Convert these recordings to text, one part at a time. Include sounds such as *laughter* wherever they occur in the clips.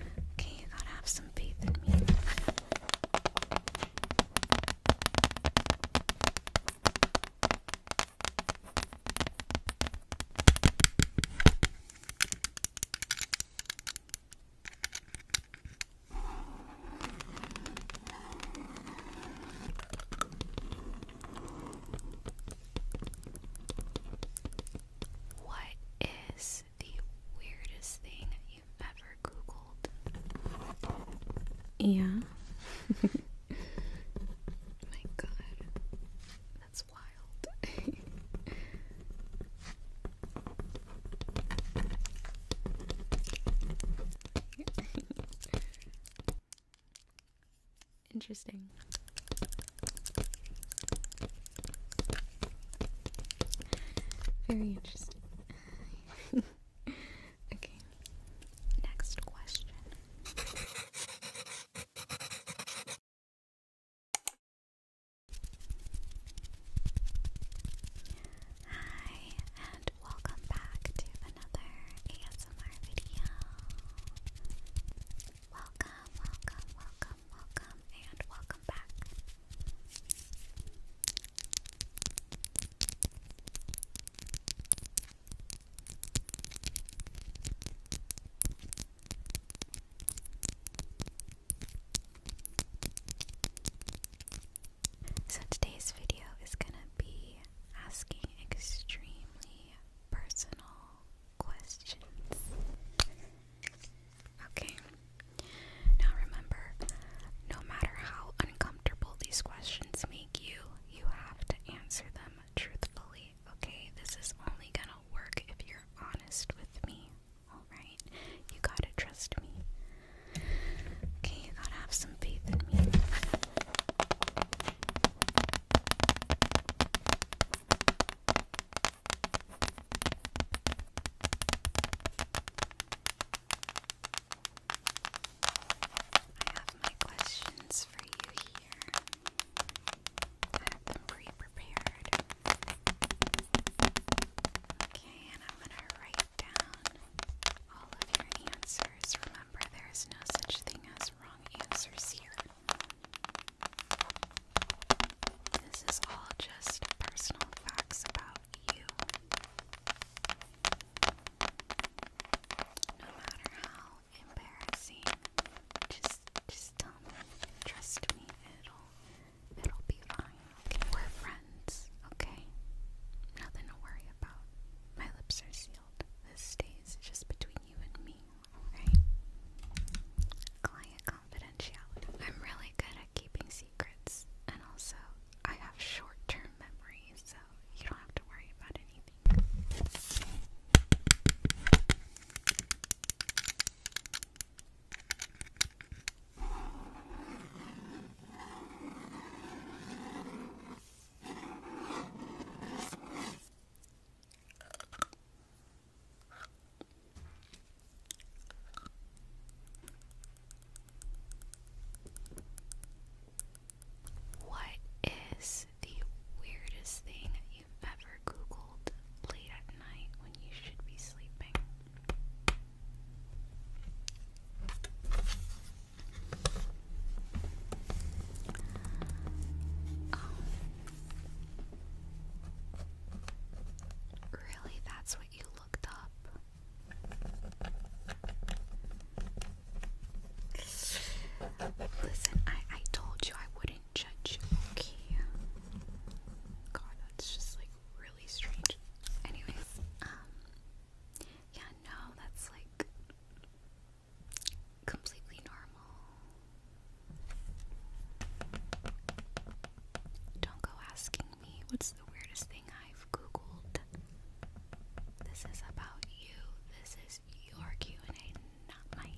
Okay, you gotta have some faith in me. What is the weirdest thing you've ever Googled? Yeah. *laughs* My god. That's wild. Interesting. Very interesting. *laughs* okay, next question. Hi, and welcome back to another ASMR video. Welcome, welcome, welcome welcome, and welcome back. So, today's video is going to be asking extremely personal questions. Okay. Now remember, no matter how uncomfortable these questions make you, you have to answer them truthfully. Okay? This is only gonna work if you're honest with me. Alright? You gotta trust me. Okay, you gotta have some faith in me. I have my questions for you here. I have them pre prepared. Okay, and I'm going to write down all of your answers. Remember, there is no such thing as wrong answers here. This is all just personal facts about you. No matter how embarrassing, just just tell me. Trust me, it'll it'll be fine. We're friends, okay? Nothing to worry about. My lips are sealed. This stays just between you and me, alright? Client confidentiality. I'm really good at keeping secrets, and also I have short term memory, so you don't have to worry about anything. What is the weirdest thing you've ever Googled late at night when you should be sleeping? Um, Really, that's what you looked up. Listen, I I told you I wouldn't judge Okay. God, that's just like really strange. Anyways, um, yeah, no, that's like completely normal. Don't go asking me what's the weirdest thing I've googled. This is about you. This is your Q&A, not mine.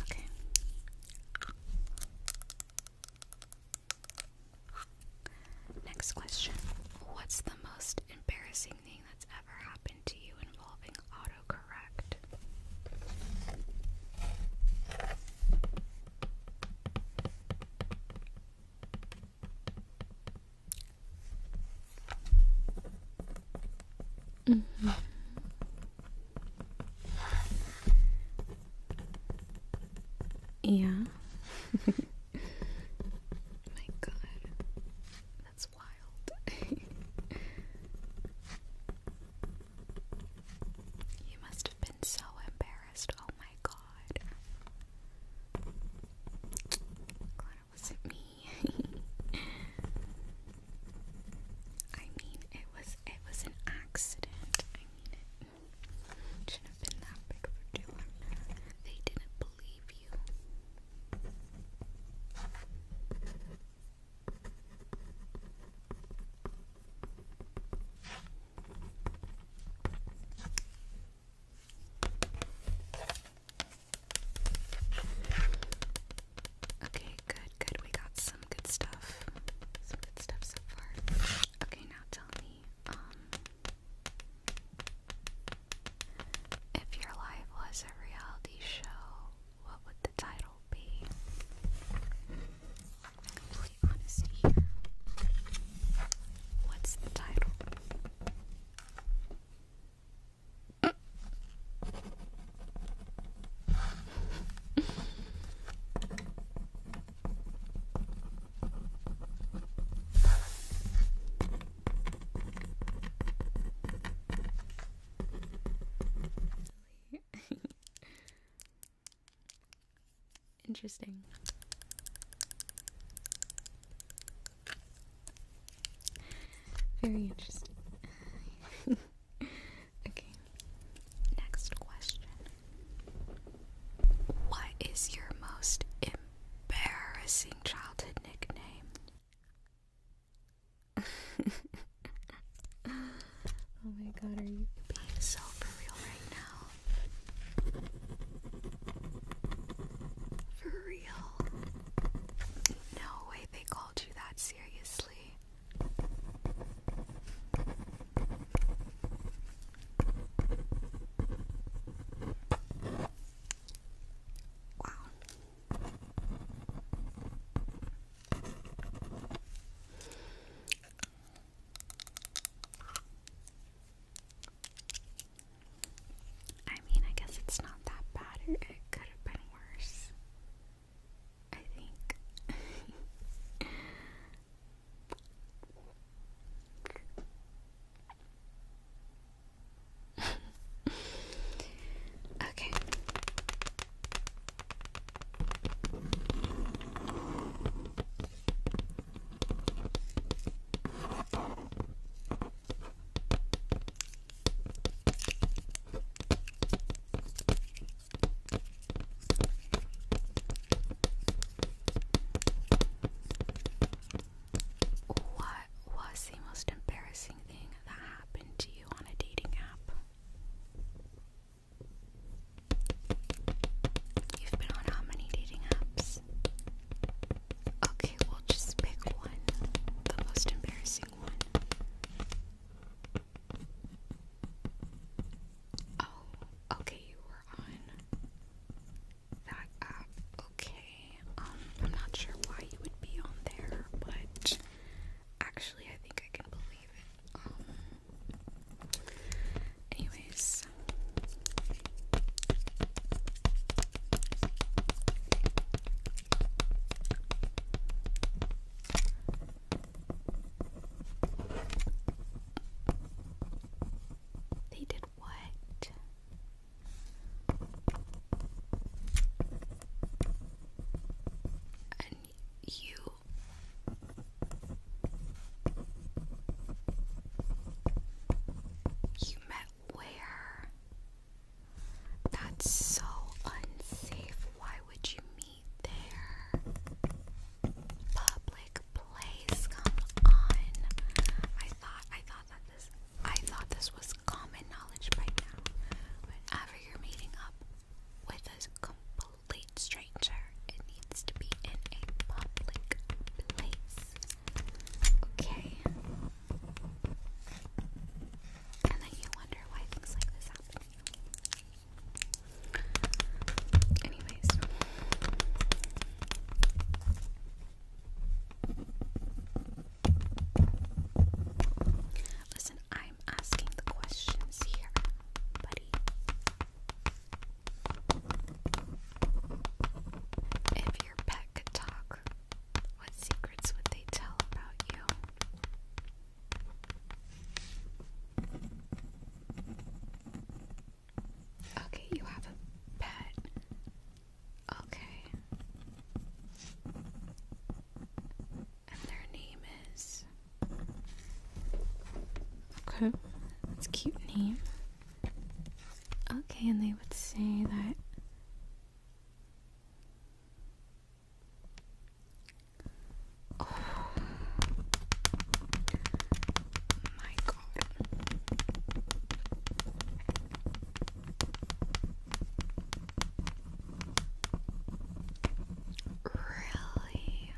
Okay. Next question. What's the most embarrassing thing that's ever happened to you involving auto autocorrect. Mm-hmm. Yeah. *laughs* My God, that's wild. *laughs* You must have been so embarrassed. Oh my god. Glad it wasn't me. *laughs* I mean, it was it was an accident. I mean, it shouldn't have been that big of a deal. They didn't believe you. Okay, good, good. We got some good stuff. Some good stuff so far. Okay, now tell me, um, if your life was a reality show, what would the title be? Complete honesty What's the title? *laughs* Interesting. Very interesting. *laughs* okay. Next question. What is your most embarrassing childhood nickname? oh my god, are you being so for real right now? For real? No way they called you that seriously. Wow. I mean, I guess it's not that bad. It could have been worse. I think. *laughs* okay. What was the most embarrassing thing that happened to you on a dating app? You've been on how many dating apps? Okay, we'll just pick one. The most embarrassing one. Oh, okay, you were on that app. Okay. Um, I'm not sure why you would be on there, but Actually, I think I can believe it. Um, anyways. They did what? and you you met where? That's so unsafe. Why would you meet there? Public place. Come on. I thought I thought that this I thought this was common knowledge by now, whenever you're meeting up with a complete stranger, it needs to be in a public place. Okay? And then you wonder why things like this happen. Anyways. Listen, I'm asking the questions here, buddy. If your pet could talk, what secrets would they tell about you? Okay, you have a pet. Okay. And their name is. Okay, that's a cute name. Okay, and they would say that. Oh my god. Really?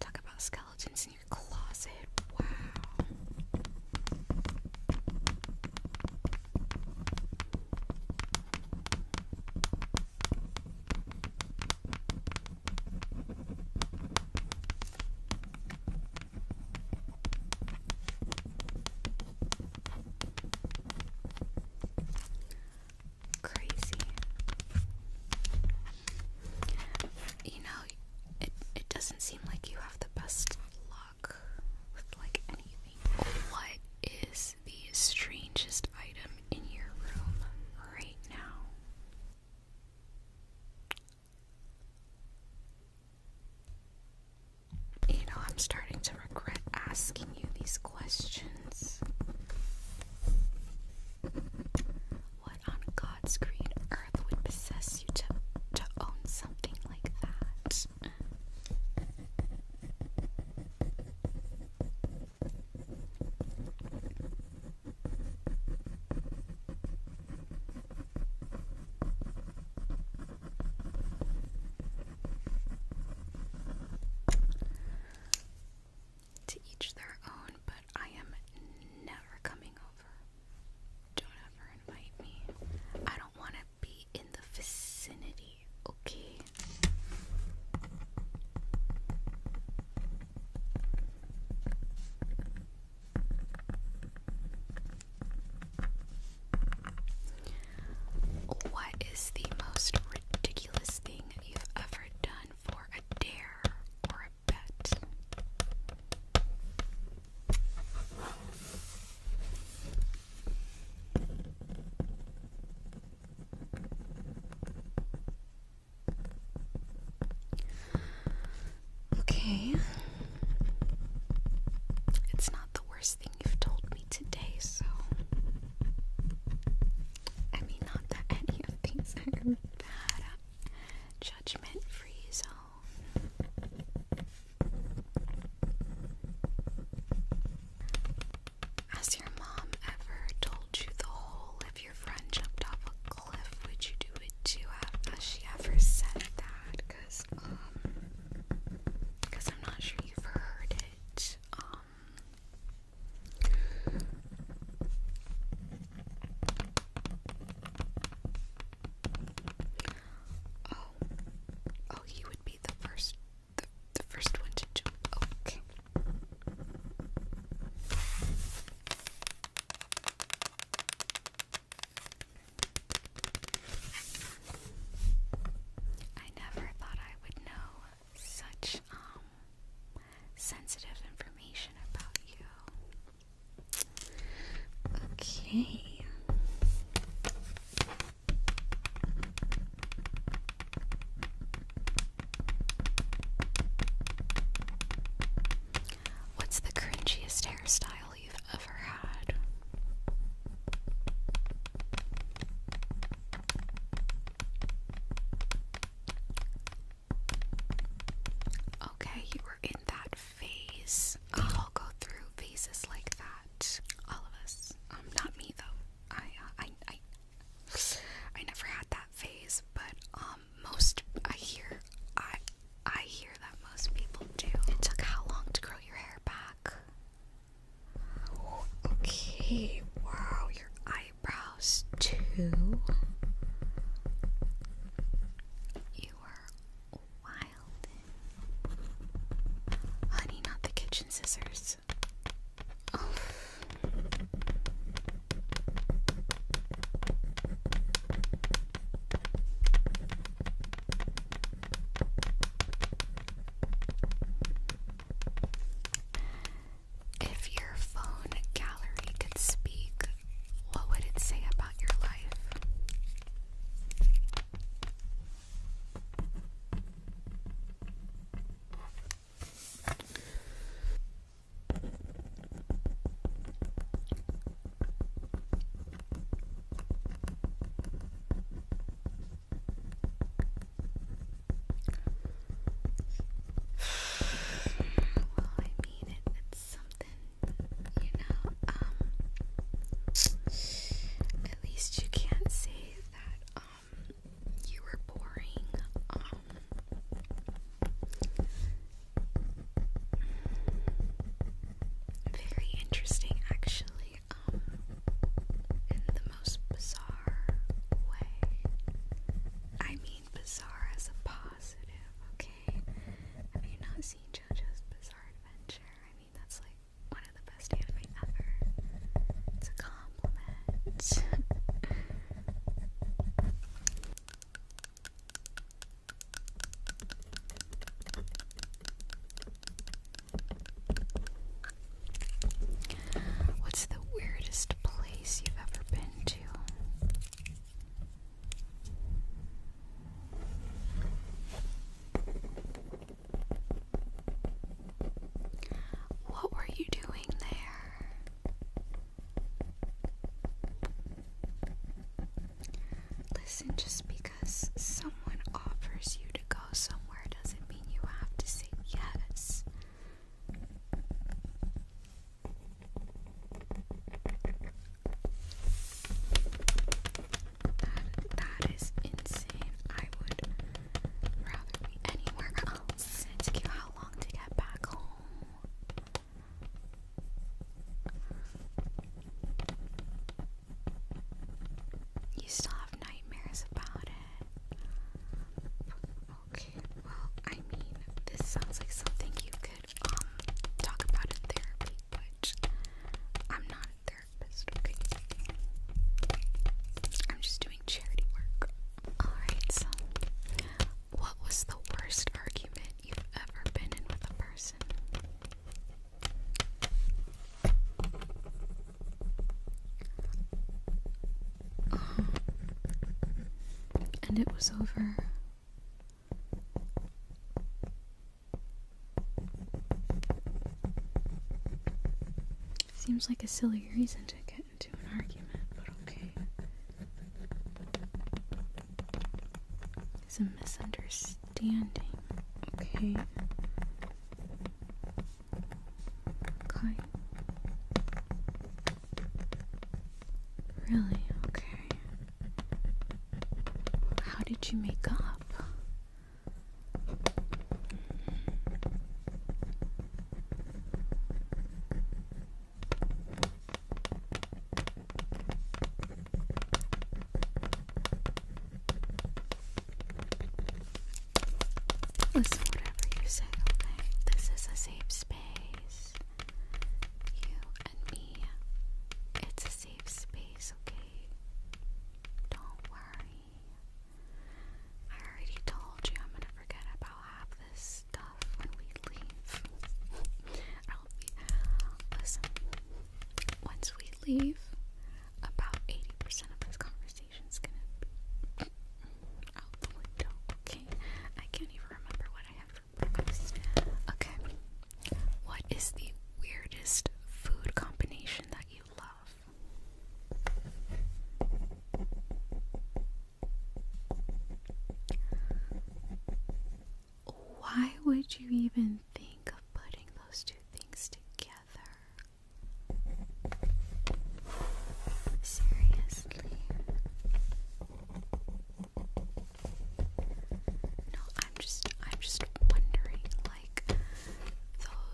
Talk about skeletons in your closet. Wow. Crazy. You know, it it doesn't seem like you have the best luck with like anything. What is the strangest item in your room right now? You know, I'm starting to regret asking you these questions. What on God's green earth would possess you to to own something like that? To each their own, but I am never coming over. Don't ever invite me. I don't want to be in the vicinity, okay? What is the most ridiculous thing you've ever done for a dare or a bet? Okay. It's not the worst thing you've told me today, so. I mean, not that any of these are bad. Judgment free zone. Has your mom ever told you the whole your friend jumped off a cliff, would you do it too? Has she ever said that? Cause um, cause I'm not sure you've heard it. Um, oh, oh, you would be the first, the, the first one to jump. Okay. I never thought I would know such um sensitive information about you. Okay. What's the cringiest hairstyle you've ever had? Okay, you were in that phase. We all go through phases like that. All of us. Um, not me though. I, uh, I, I, I never had that phase. But um, um, most I hear I I hear that most people do. It took how long to grow your hair back? Okay, wow, your eyebrows too. You were wild. Honey, not the kitchen scissors. If your phone gallery could speak, what would it say about your life? well, I mean, it's something, you know. Um, at least you can't say that um, you were boring. Um, very interesting, actually, um, in the most bizarre way. I mean, bizarre as a positive, okay? Have you not seen JoJo's Bizarre Adventure? I mean, that's like one of the best anime ever. It's a compliment. *laughs* What's the weirdest place you've ever been to? What were you doing there? Listen, just because someone offers you to go somewhere doesn't mean you have to say yes. That, that is insane. I would rather be anywhere else. It took you how long to get back home? You still have nightmares about it. Okay, well, I mean, this sounds like something you could um talk about in therapy, which I'm not a therapist, okay? I'm just doing charity work. Alright, what was the worst argument you've ever been in with a person? and it was over. Seems like a silly reason to get into an argument, but okay. It's a misunderstanding, okay? Okay. Really? Okay. How did you make up? Listen, whatever you say, okay? This is a safe space. You and me. It's a safe space, okay? Don't worry. I already told you I'm gonna forget about half this stuff when we leave. I'll be listen. Once we leave, about eighty percent of this conversation's gonna be out the window. Okay, I can't even remember what I had Okay, what is the weirdest food combination that you love? Why would you even think of putting those two things together? Seriously. No, I'm just I'm just wondering like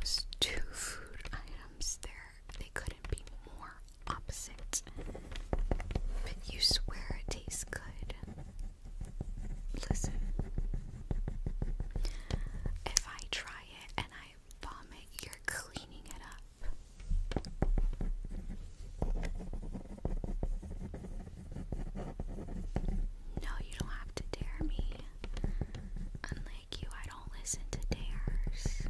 those two food items, they they couldn't be more opposite. But you swear it tastes good. Listen. If I try it and I vomit, you're cleaning it up. No, you don't have to dare me like you, I don't listen to dares.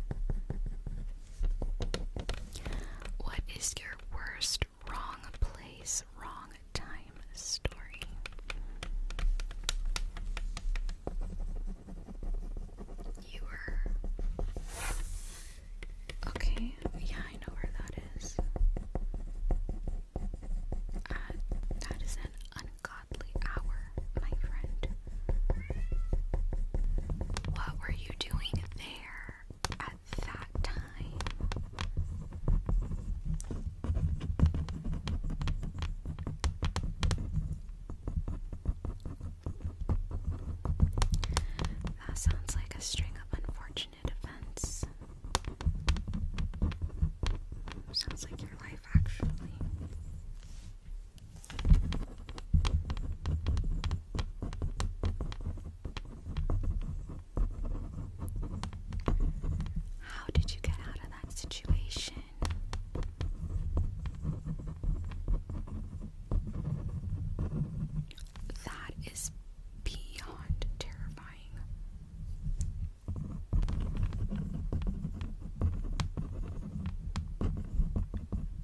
What is your worst wrong place, wrong time story? You were. Okay, yeah, I know where that is. Uh, that is an ungodly ungodly hour, my friend. What were you doing there at that time? That sounds like a string of unfortunate events. Sounds like your life, actually. How did you get out of that situation? That is beyond terrifying.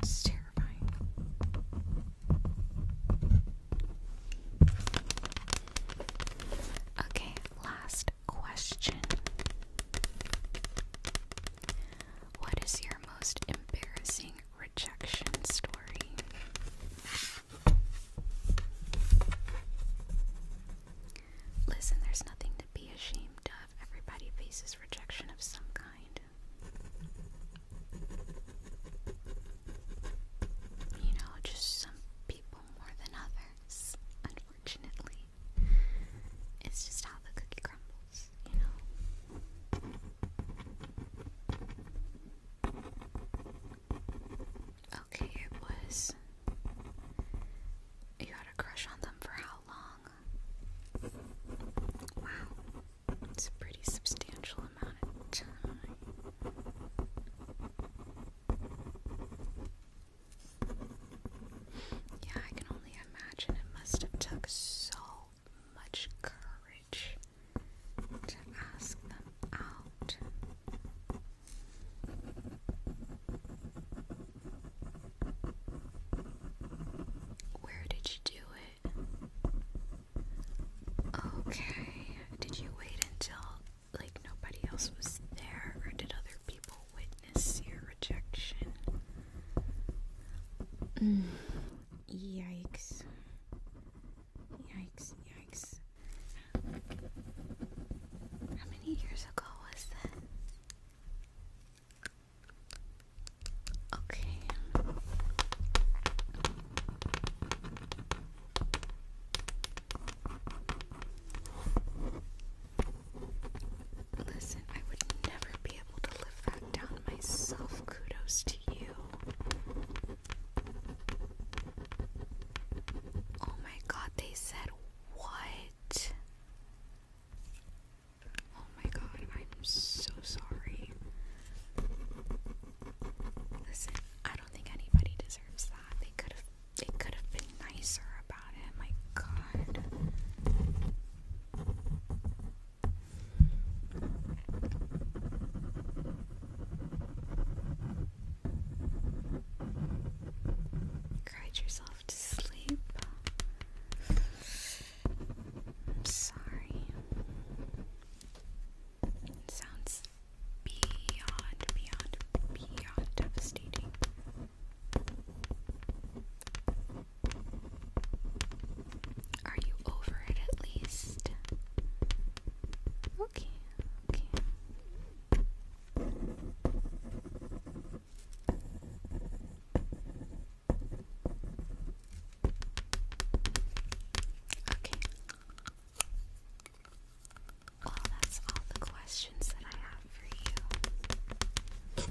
It's terrifying. Okay, last question. What is your most embarrassing rejection story? Listen, there's nothing to be ashamed of. Everybody faces rejection of some kind. You know, just some people more than others, unfortunately. It's just how the cookie crumbles, you know. Okay, it was. You had a crush on them for how long? Wow, it's a pretty substantial amount of time. Yeah, I can only imagine it must have took so much courage to ask them out. Where did you do it? Okay. Did you wait until like nobody else was there or did other people witness your rejection? Mm. Yikes. Yikes, yikes. How many years ago was that? Okay. Listen, I would never be able to live that down myself. Kudos to you. Oh my god, they said what? Oh my god, I'm so sorry. Listen, I don't think anybody deserves that. They could have it could have been nicer about it. My god cried yourself to sleep. I'm sorry. sounds beyond, beyond, beyond devastating. Are you over it at least? Okay, okay. Okay. Well, that's all the questions that I have for you.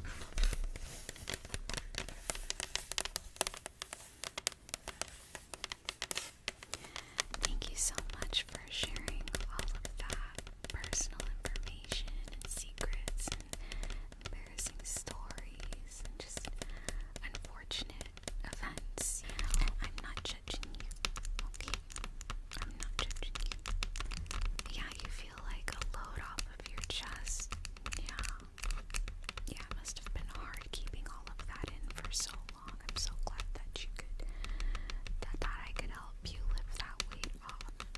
Thank you so much for sharing all of that personal information and secrets and embarrassing stories and just unfortunate events. And I'm not judging you, okay? I'm not judging you. Yeah, you feel like a load off of your chest. Yeah. Yeah, must have been hard keeping all of that in for so long. I'm so glad that you could that, I could help you live that weight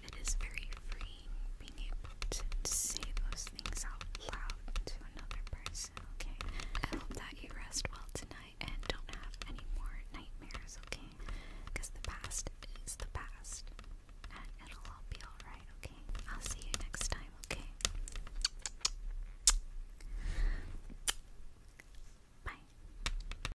it is very freeing being able to say those things out loud to another person, okay? I hope that you rest well tonight and don't have any more nightmares, okay? Because the past is the past and it'll all be alright, okay? I'll see you next time, okay? Bye.